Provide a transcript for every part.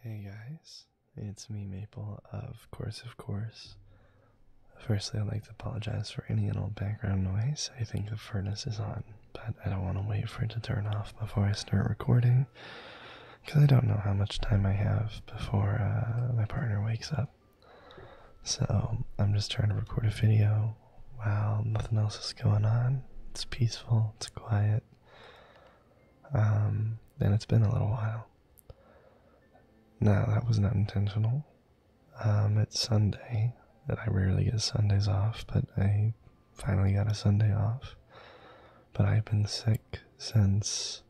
Hey guys, it's me Maple, of course, of course. Firstly, I'd like to apologize for any little background noise. I think the furnace is on, but I don't want to wait for it to turn off before I start recording because I don't know how much time I have before uh, my partner wakes up. So I'm just trying to record a video while nothing else is going on. It's peaceful, it's quiet. Um, and it's been a little while. No, that was not intentional. Um, it's Sunday, and I rarely get Sundays off, but I finally got a Sunday off. But I've been sick since,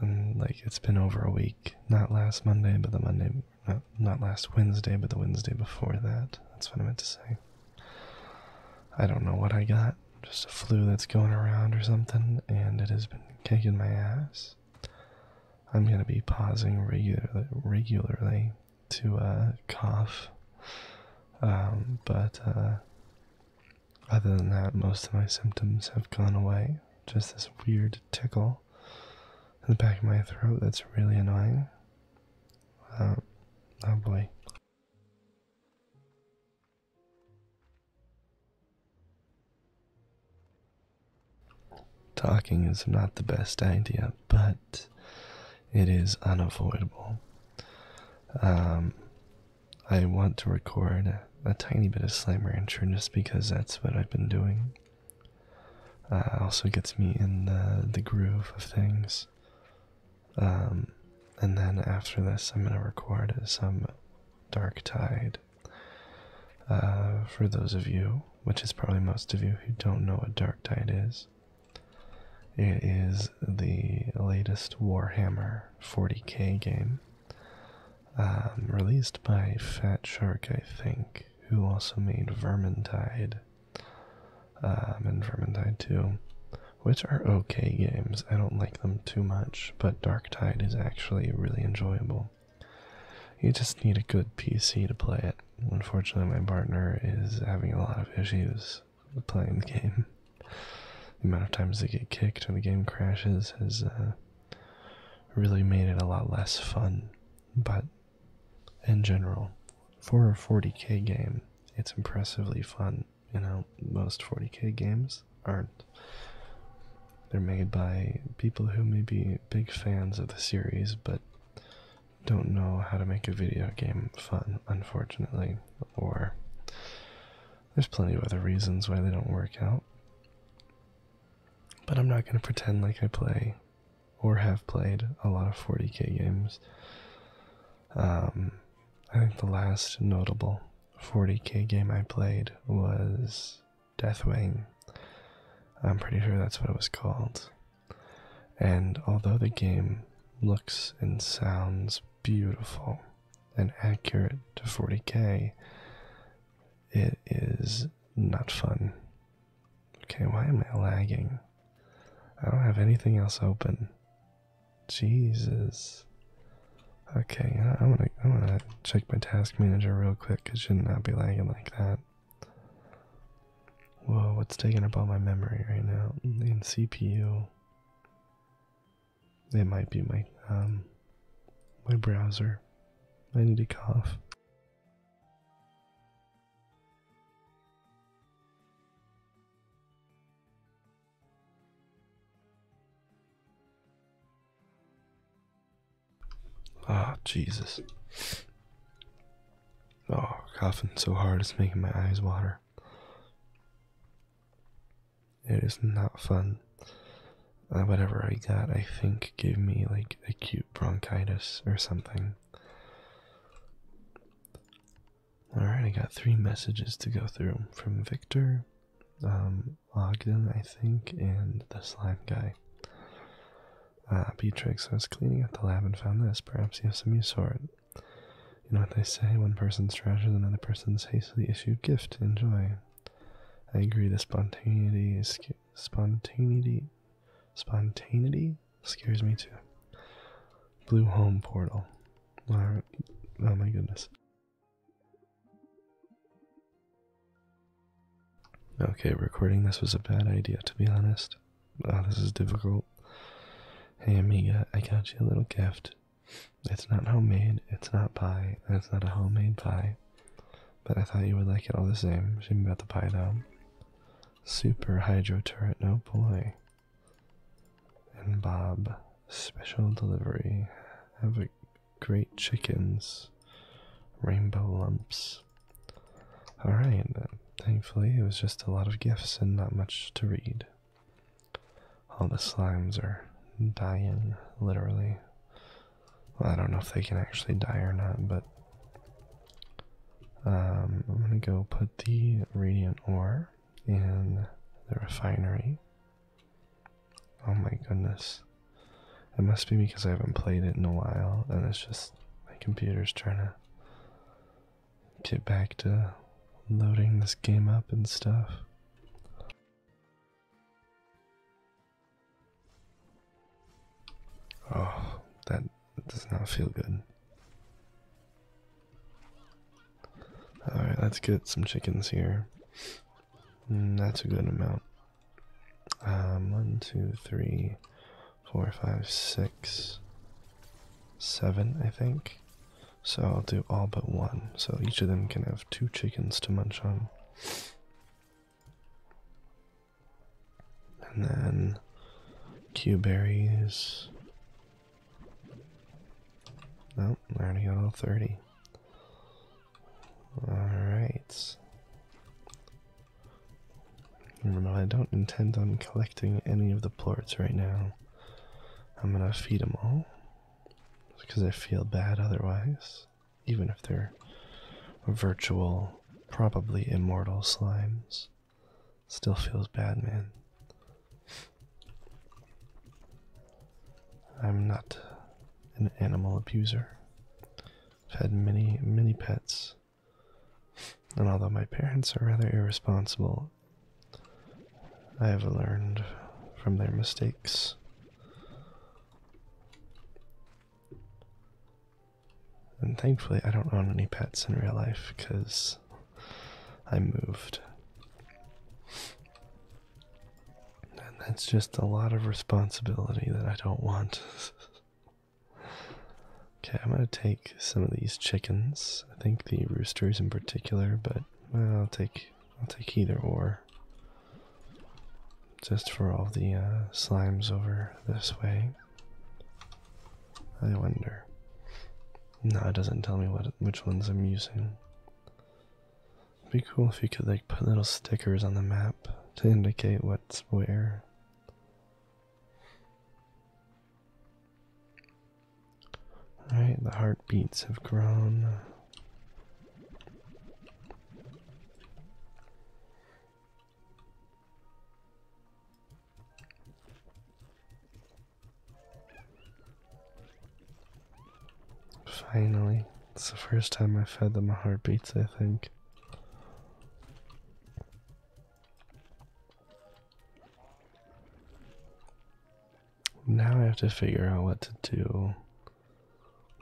um, like, it's been over a week. Not last Monday, but the Monday, not, not last Wednesday, but the Wednesday before that. That's what I meant to say. I don't know what I got. Just a flu that's going around or something, and it has been kicking my ass. I'm gonna be pausing regularly, regularly to uh, cough. Um, but uh, other than that, most of my symptoms have gone away. Just this weird tickle in the back of my throat that's really annoying. Um, oh boy. Talking is not the best idea, but it is unavoidable. Um, I want to record a, tiny bit of Slime Rancher just because that's what I've been doing. Uh, also gets me in the, the groove of things. Um, and then after this, I'm going to record some Dark Tide. Uh, for those of you, which is probably most of you, who don't know what Dark Tide is, it is the latest Warhammer 40k game um, released by Fat Shark, I think, who also made Vermintide um, and Vermintide 2, which are okay games. I don't like them too much, but Dark Tide is actually really enjoyable. You just need a good PC to play it. Unfortunately, my partner is having a lot of issues playing the game. The amount of times they get kicked or the game crashes has uh, really made it a lot less fun. But in general, for a 40k game, it's impressively fun. You know, most 40k games aren't. They're made by people who may be big fans of the series, but don't know how to make a video game fun, unfortunately. Or there's plenty of other reasons why they don't work out. But I'm not going to pretend like I play or have played a lot of 40k games. Um, I think the last notable 40k game I played was Deathwing. I'm pretty sure that's what it was called. And although the game looks and sounds beautiful and accurate to 40k, it is not fun. Okay, why am I lagging? I don't have anything else open. Jesus. Okay, I'm gonna I'm gonna check my task manager real quick. It should not be lagging like that. Whoa, what's taking up all my memory right now? In CPU. It might be my um my browser. I need to cough. Ah, oh, Jesus. Oh, coughing so hard it's making my eyes water. It is not fun. Uh, whatever I got, I think, gave me like acute bronchitis or something. All right, I got three messages to go through from Victor, um, Ogden, I think, and the slime guy. Uh, Beatrix, I was cleaning up the lab and found this. Perhaps you have some use for it. You know what they say, one person's trash is another person's hastily issued gift. Enjoy. I agree, the spontaneity is... Spontaneity... Spontaneity? Scares me too. Blue home portal. Oh my goodness. Okay, recording this was a bad idea to be honest. Oh, this is difficult. Hey Amiga, I got you a little gift. It's not homemade, it's not pie, it's not a homemade pie. But I thought you would like it all the same. Shame about the pie though. Super hydro turret, no oh boy and Bob special delivery. Have a great chickens, rainbow lumps. All right, thankfully it was just a lot of gifts and not much to read. All the slimes are dying, literally. Well, I don't know if they can actually die or not, but um, I'm gonna go put the radiant ore in the refinery. Oh my goodness. It must be because I haven't played it in a while and it's just my computer's trying to get back to loading this game up and stuff. Oh, that that does not feel good. Alright, let's get some chickens here. Hmm, that's a good amount. Um, one, two, three, four, five, six, seven, I think. So I'll do all but one. So each of them can have two chickens to munch on and then Q berries. Nope, I already got all 30. Alright. Remember, I don't intend on collecting any of the plorts right now. I'm gonna feed them all. Because I feel bad otherwise. Even if they're virtual, probably immortal slimes. Still feels bad, man. I'm not an animal abuser. I've had many, many pets. And although my parents are rather irresponsible, I have learned from their mistakes. And thankfully, I don't own any pets in real life because I moved. And that's just a lot of responsibility that I don't want. okay, I'm gonna take some of these chickens. I think the roosters in particular, but well, I'll take I'll take either or. Just for all the uh, slimes over this way. I wonder. No, it doesn't tell me what which ones I'm using. would be cool if you could like put little stickers on the map to indicate what's where. Alright, the heartbeats have grown. Finally, it's the first time I've fed them a heartbeats, I think. Now I have to figure out what to do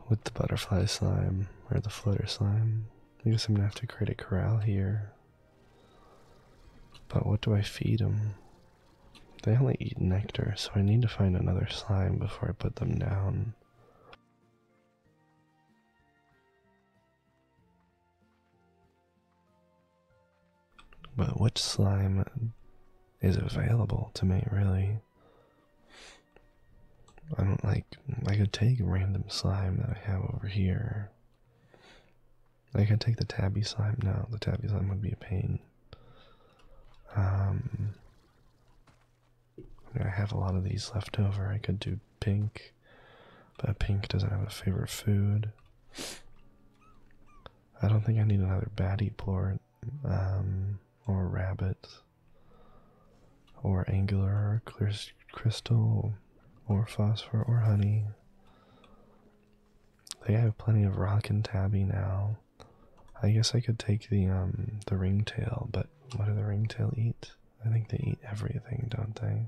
with the butterfly slime or the flutter slime. I guess I'm gonna have to create a corral here. But what do I feed them? They only eat nectar, so I need to find another slime before I put them down. But which slime is available to me, really? I don't like. I could take random slime that I have over here I could take the tabby slime. now. the tabby slime would be a pain. Um, I have a lot of these left over. I could do pink, but pink doesn't have a favorite food. I don't think I need another baddie plort, um, or rabbit, or angular, or crystal or phosphor or honey. They have plenty of rock and tabby now. I guess I could take the um the ringtail, but what do the ringtail eat? I think they eat everything, don't they?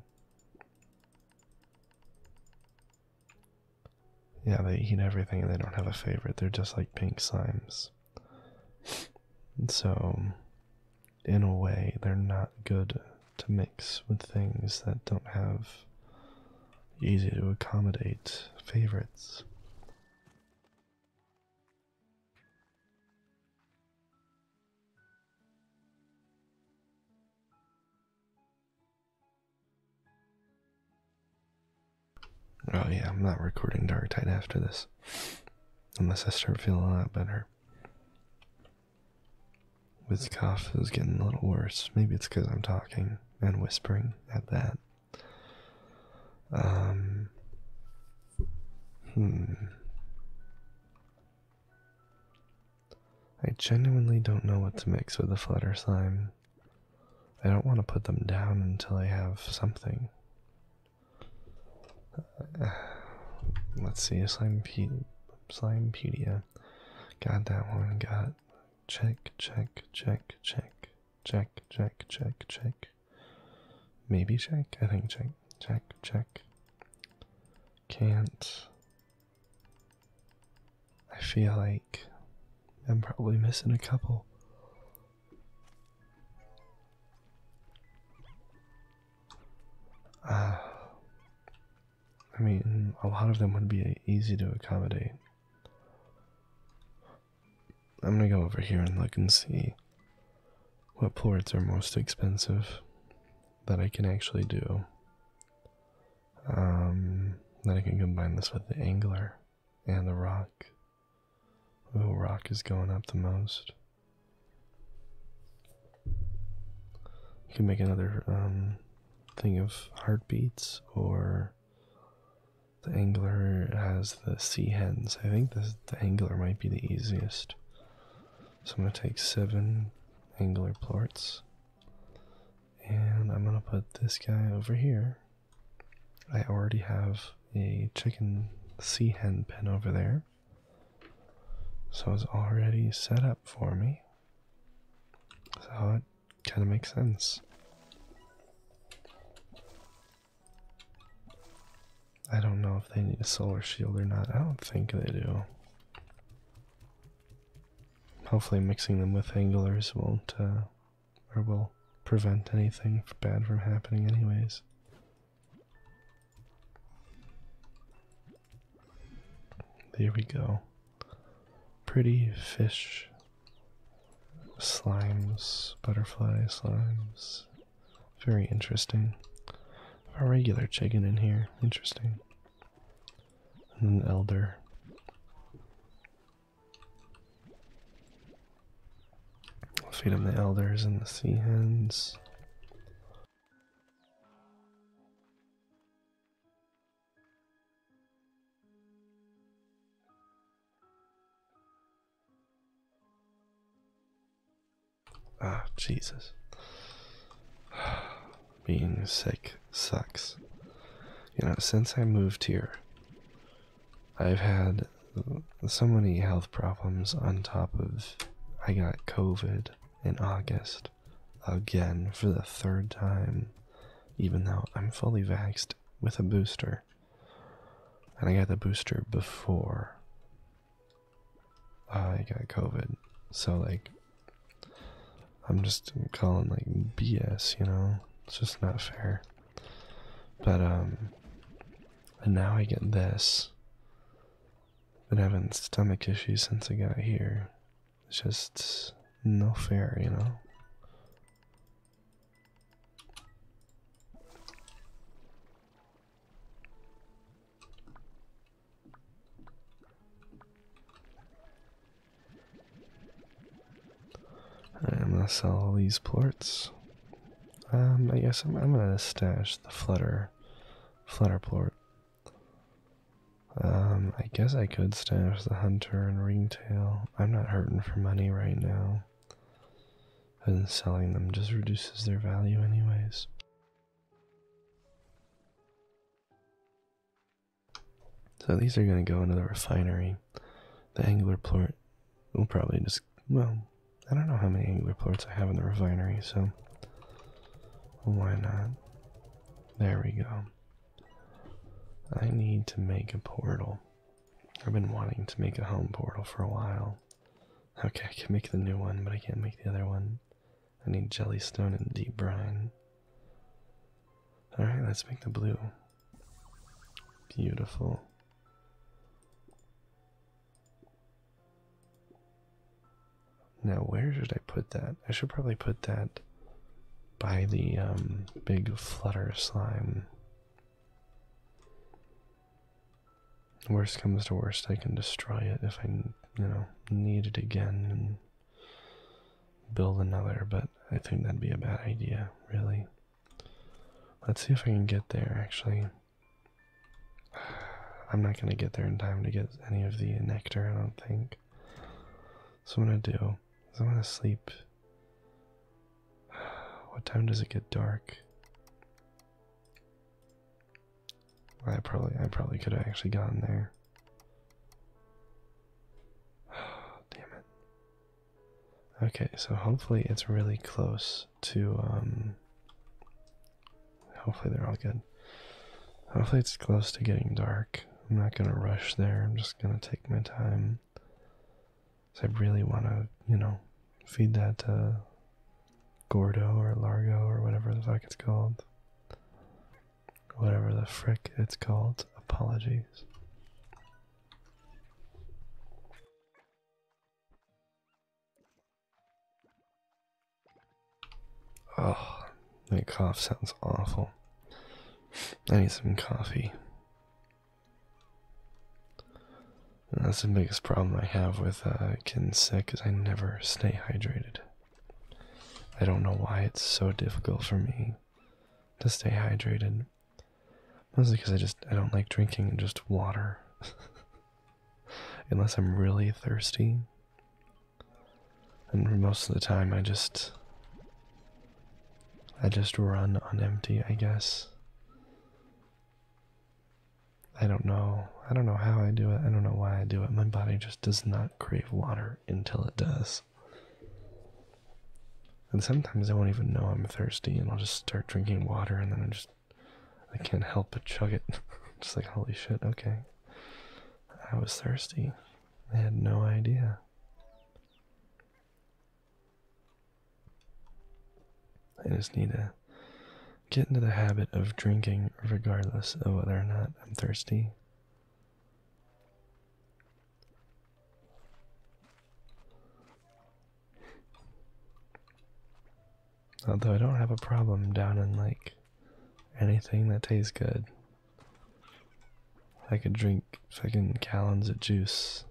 Yeah, they eat everything and they don't have a favorite. They're just like pink slimes. So in a way, they're not good to mix with things that don't have easy to accommodate favorites. Oh yeah, I'm not recording Dark Tide after this. Unless I start feeling a lot better. With the cough is getting a little worse. Maybe it's because I'm talking and whispering at that. Um, hmm. I genuinely don't know what to mix with the flutter slime. I don't want to put them down until I have something. Uh, let's see, slime pea Slimepedia. Got that one. Got check, check, check, check, check, check, check, check. Maybe check. I think check, check, check. Can't. I feel like I'm probably missing a couple. Uh, I mean, a lot of them would be easy to accommodate. I'm gonna go over here and look and see what ports are most expensive that I can actually do. Um, that I can combine this with the angler and the rock. Oh, rock is going up the most. You can make another um, thing of heartbeats, or the angler has the sea hens. I think the angler might be the easiest. So I'm going to take seven angler plorts, and I'm going to put this guy over here. I already have a chicken sea hen pen over there. So it's already set up for me. So it kind of makes sense. I don't know if they need a solar shield or not. I don't think they do. Hopefully, mixing them with anglers won't, uh, or will prevent anything bad from happening, anyways. There we go. Pretty fish, slimes, butterfly slimes. Very interesting. A regular chicken in here. Interesting. And an elder. feed him the elders and the sea hens. Ah, Jesus. Being sick sucks. You know, since I moved here, I've had so many health problems on top of I got COVID in August again for the third time, even though I'm fully vaxxed with a booster. And I got the booster before I got COVID. So, like, I'm just calling, like, BS, you know? It's just not fair. But, um, and now I get this. Been having stomach issues since I got here. It's just no fair, you know. I'm gonna sell all these plorts. Um, I guess I'm gonna stash the flutter Flatterplort. Um, I guess I could stash the hunter and ringtail. I'm not hurting for money right now. And selling them just reduces their value anyways. So these are gonna go into the refinery. The angular angler we will probably just well, I don't know how many angular ports I have in the refinery, so why not? There we go. I need to make a portal. I've been wanting to make a home portal for a while. Okay, I can make the new one, but I can't make the other one. I need jellystone and deep brine. Alright, let's make the blue. Beautiful. Now, where should I put that? I should probably put that by the um, big flutter slime. Worst comes to worst, I can destroy it if I, you know, need it again and build another, but I think that'd be a bad idea, really. Let's see if I can get there, actually. I'm not going to get there in time to get any of the nectar, I don't think. So, what I'm going to do is I'm going to sleep. What time does it get dark? I probably I probably could have actually gotten there. Damn it. Okay, so hopefully it's really close to um, hopefully they're all good. Hopefully it's close to getting dark. I'm not gonna rush there, I'm just gonna take my time. So I really wanna, you know, feed that uh, Gordo or Largo or whatever the fuck it's called. Whatever the frick it's called. Apologies. Oh, my cough sounds awful. I need some coffee. that's the biggest problem I have with uh, getting sick is I never stay hydrated. I don't know why it's so difficult for me to stay hydrated. Mostly because I just I don't like drinking just water. Unless I'm really thirsty. And most of the time I just I just run on empty, I guess. I don't know. I don't know how I do it. I don't know why I do it. My body just does not crave water until it does. And sometimes I won't even know I'm thirsty and I'll just start drinking water and then I just I can't help but chug it. Just like, holy shit, okay. I was thirsty. I had no idea. I just need to get into the habit of drinking regardless of whether or not I'm thirsty. Although I don't have a problem down in like anything that tastes good. I could drink fucking gallons of juice,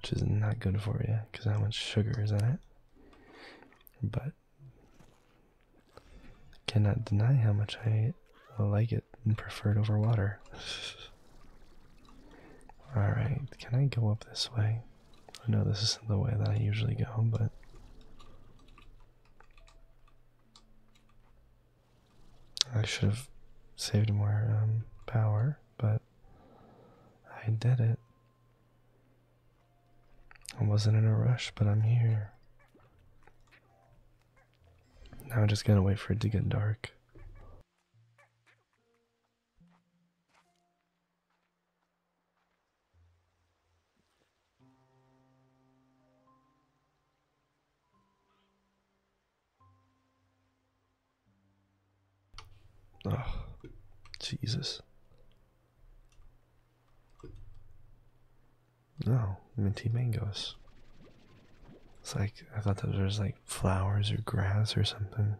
which is not good for you because how much sugar is in it. But cannot deny how much I like it and prefer it over water. Alright, can I go up this way? I know this isn't the way that I usually go, but. I should have saved more um, power, but I did it. I wasn't in a rush, but I'm here. Now I just going to wait for it to get dark. Oh, Jesus. No, minty mangoes. It's like, I thought that was like flowers or grass or something.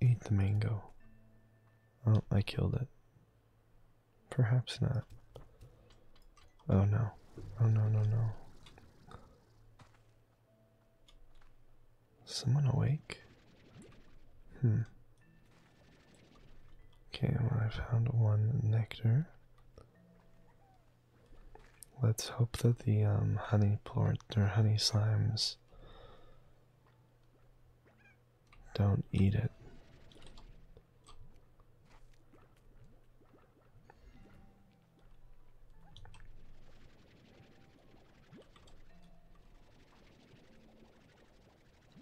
Eat the mango. Oh, I killed it. Perhaps not. Oh no. Oh no, no, no. Someone awake? Hmm. Okay, well, I found one nectar. Let's hope that the um, honey plort or honey slimes don't eat it.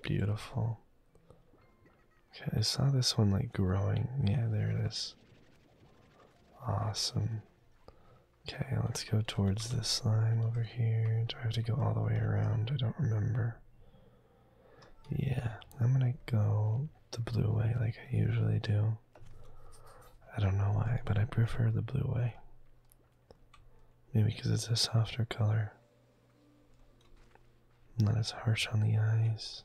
Beautiful. Okay, I saw this one like growing. Yeah, there it is. Awesome. Okay, let's go towards this slime over here. Do I have to go all the way around? I don't remember. Yeah, I'm gonna go the blue way like I usually do. I don't know why, but I prefer the blue way. Maybe because it's a softer color. Not as harsh on the eyes.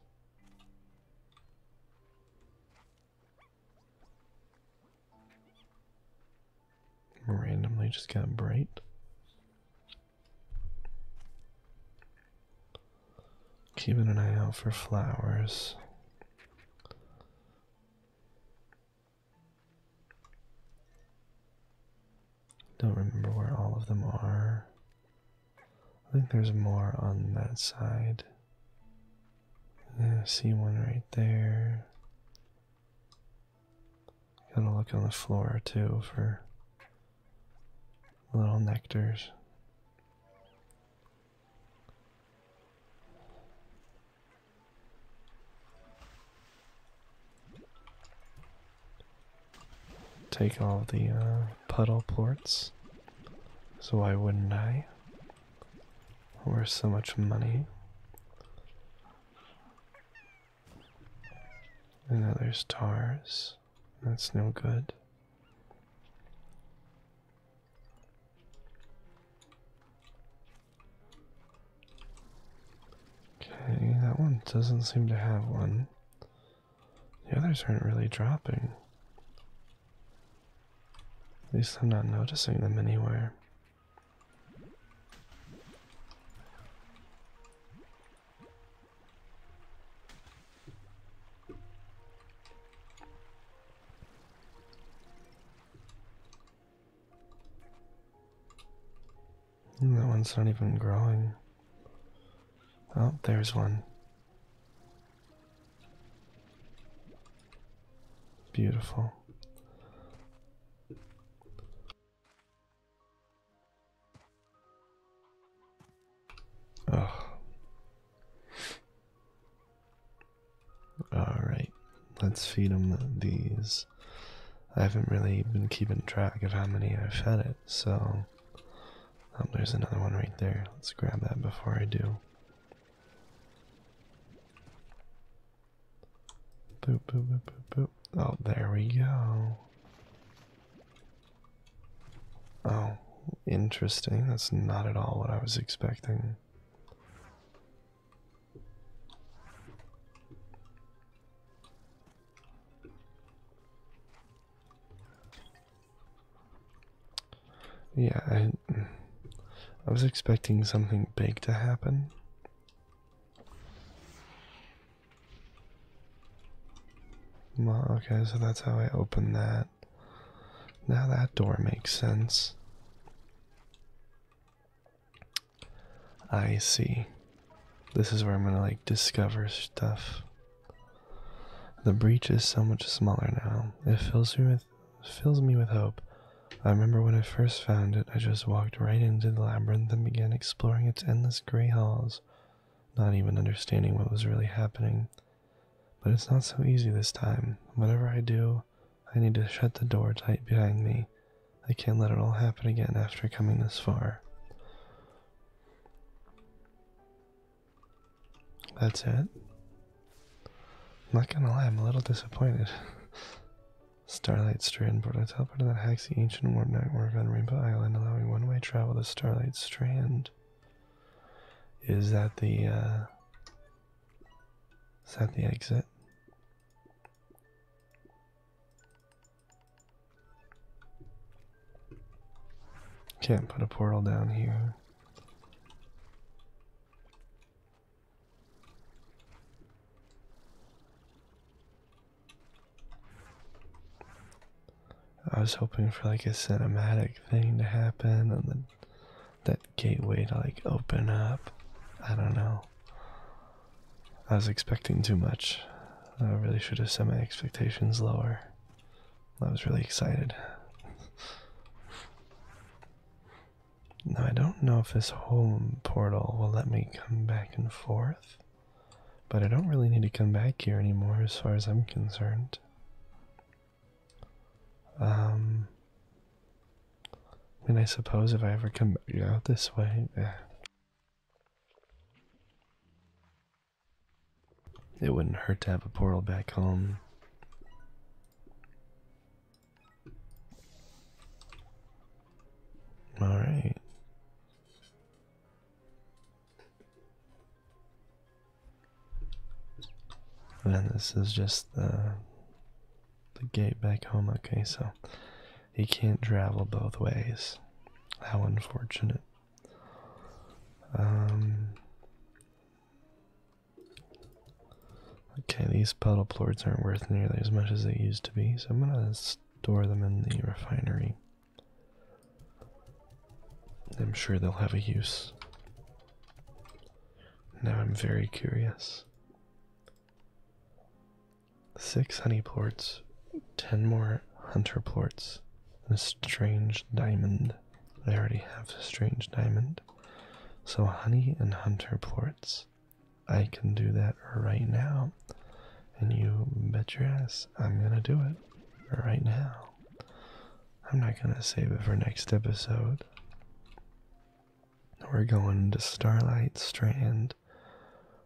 Randomly just got bright. Keeping an eye out for flowers. Don't remember where all of them are. I think there's more on that side. see one right there. Kind of look on the floor too for little nectars. Take all the uh, puddle ports. So why wouldn't I? We're so much money. And now there's stars. That's no good. Okay, that one doesn't seem to have one. The others aren't really dropping. At least I'm not noticing them anywhere. That one's not even growing. Oh, there's one. Beautiful. Ugh. Alright, let's feed them these. I haven't really been keeping track of how many I've fed it, so. Oh, there's another one right there. Let's grab that before I do. Boop, boop, boop, boop, boop. Oh, there we go. Oh, interesting. That's not at all what I was expecting. Yeah, I, I was expecting something big to happen. Well, okay, so that's how I open that. Now that door makes sense. I see. This is where I'm gonna like discover stuff. The breach is so much smaller now. It fills me with fills me with hope. I remember when I first found it, I just walked right into the labyrinth and began exploring its endless gray halls, not even understanding what was really happening. But it's not so easy this time. Whatever I do, I need to shut the door tight behind me. I can't let it all happen again after coming this far. That's it. I'm not gonna lie, I'm a little disappointed. Starlight Strand Board. I teleported that hacks the ancient warp network on Rainbow Island, allowing one way travel to Starlight Strand. Is that the uh, is that the exit? Can't put a portal down here. I was hoping for like a cinematic thing to happen and then that gateway to like open up. I don't know. I was expecting too much. I really should have set my expectations lower. I was really excited. now, I don't know if this home portal will let me come back and forth, but I don't really need to come back here anymore as far as I'm concerned. Um, I I suppose if I ever come out know, this way, it wouldn't hurt to have a portal back home. All right. And this is just uh, the gate back home. Okay, so he can't travel both ways. How unfortunate. Um. Okay, these puddle plorts aren't worth nearly as much as they used to be, so I'm gonna store them in the refinery. I'm sure they'll have a use. Now I'm very curious. Six honey plorts, ten more hunter plorts, and a strange diamond. I already have a strange diamond. So honey and hunter plorts. I can do that right now. And you bet your ass I'm gonna do it right now. I'm not gonna save it for next episode. We're going to Starlight Strand,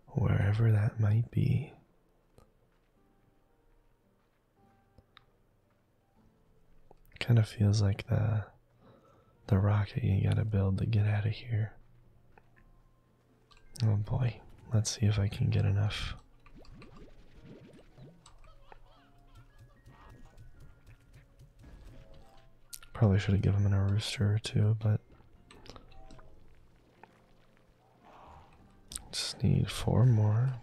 wherever that might be. Kind of feels like the the rocket you gotta build to get out of here. Oh boy, let's see if I can get enough. Probably should have given him a rooster or two, but just need four more.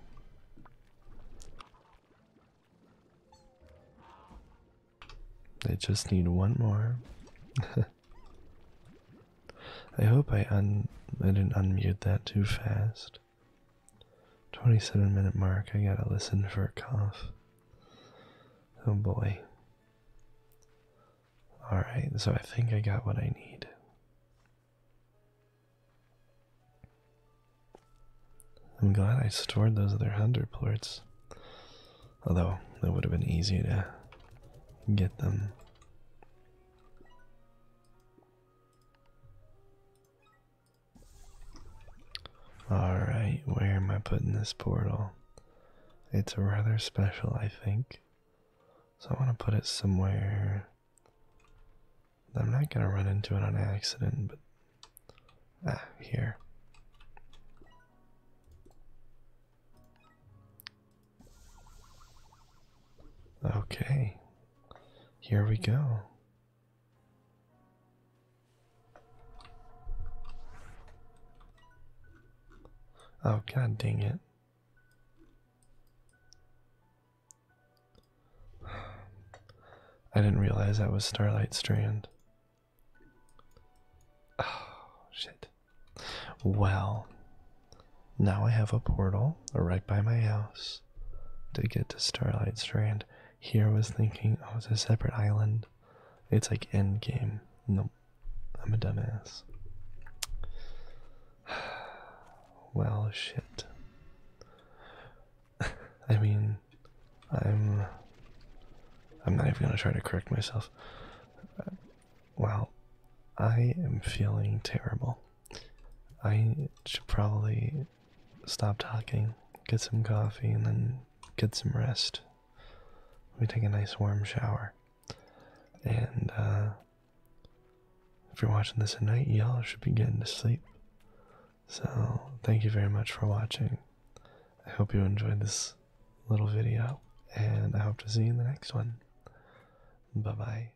They just need one more. I hope I un I didn't unmute that too fast. 27 minute mark. I gotta listen for a cough. Oh boy. Alright, so I think I got what I need. I'm glad I stored those other hundred ports. Although, it would have been easier to get them. Alright, where am I putting this portal? It's rather special, I think. So I want to put it somewhere. I'm not going to run into it on accident, but. Ah, here. Okay. Here we go. Oh, god dang it. I didn't realize that was Starlight Strand. Oh, shit. Well, now I have a portal right by my house to get to Starlight Strand. Here I was thinking, oh, it's a separate island. It's like end game. Nope. I'm a dumbass. well, shit. I mean, I'm. I'm not even gonna try to correct myself. Well, I am feeling terrible. I should probably stop talking, get some coffee, and then get some rest. We take a nice warm shower. And uh, if you're watching this at night, y'all should be getting to sleep. So, thank you very much for watching. I hope you enjoyed this little video, and I hope to see you in the next one. Bye bye.